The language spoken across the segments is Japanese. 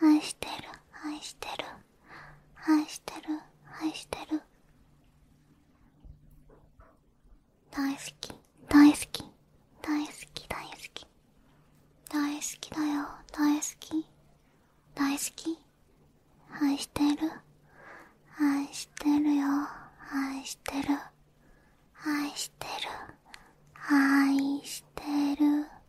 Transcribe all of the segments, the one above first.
愛してる愛してる愛してる愛してる大好き大好き大好き大好き大好きだよ大好き大好き愛してる愛してるよ愛してる愛してる愛してる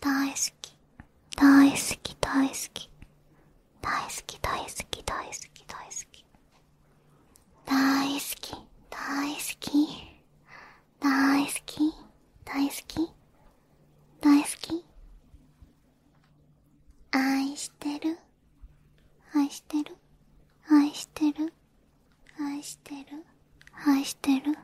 大好き大好き大好き大好き大好き大好き大好き大好き大好き大好き大好き大好き愛してる愛してる愛してる愛してる愛してる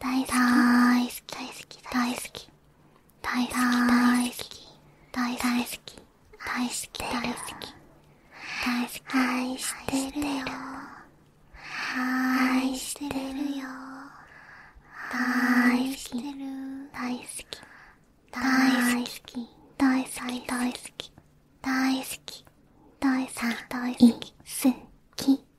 だいすきだいすきだいすきだいすきだいすきだいすきだいすきだいすき大好き愛してるよいしてるよ大好き大好き大好き大好き大好き大好き大好き大好き大好き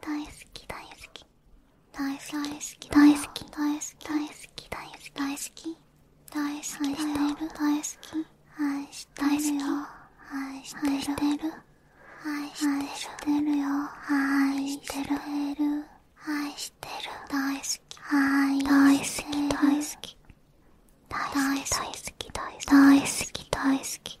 大好き大好き大好き大好き大好き大好き大好き大好き大好き大好き大好き愛してるよ愛してる愛してるよ愛してる大好き大好き大好き大好き大好き大好き大好き大好き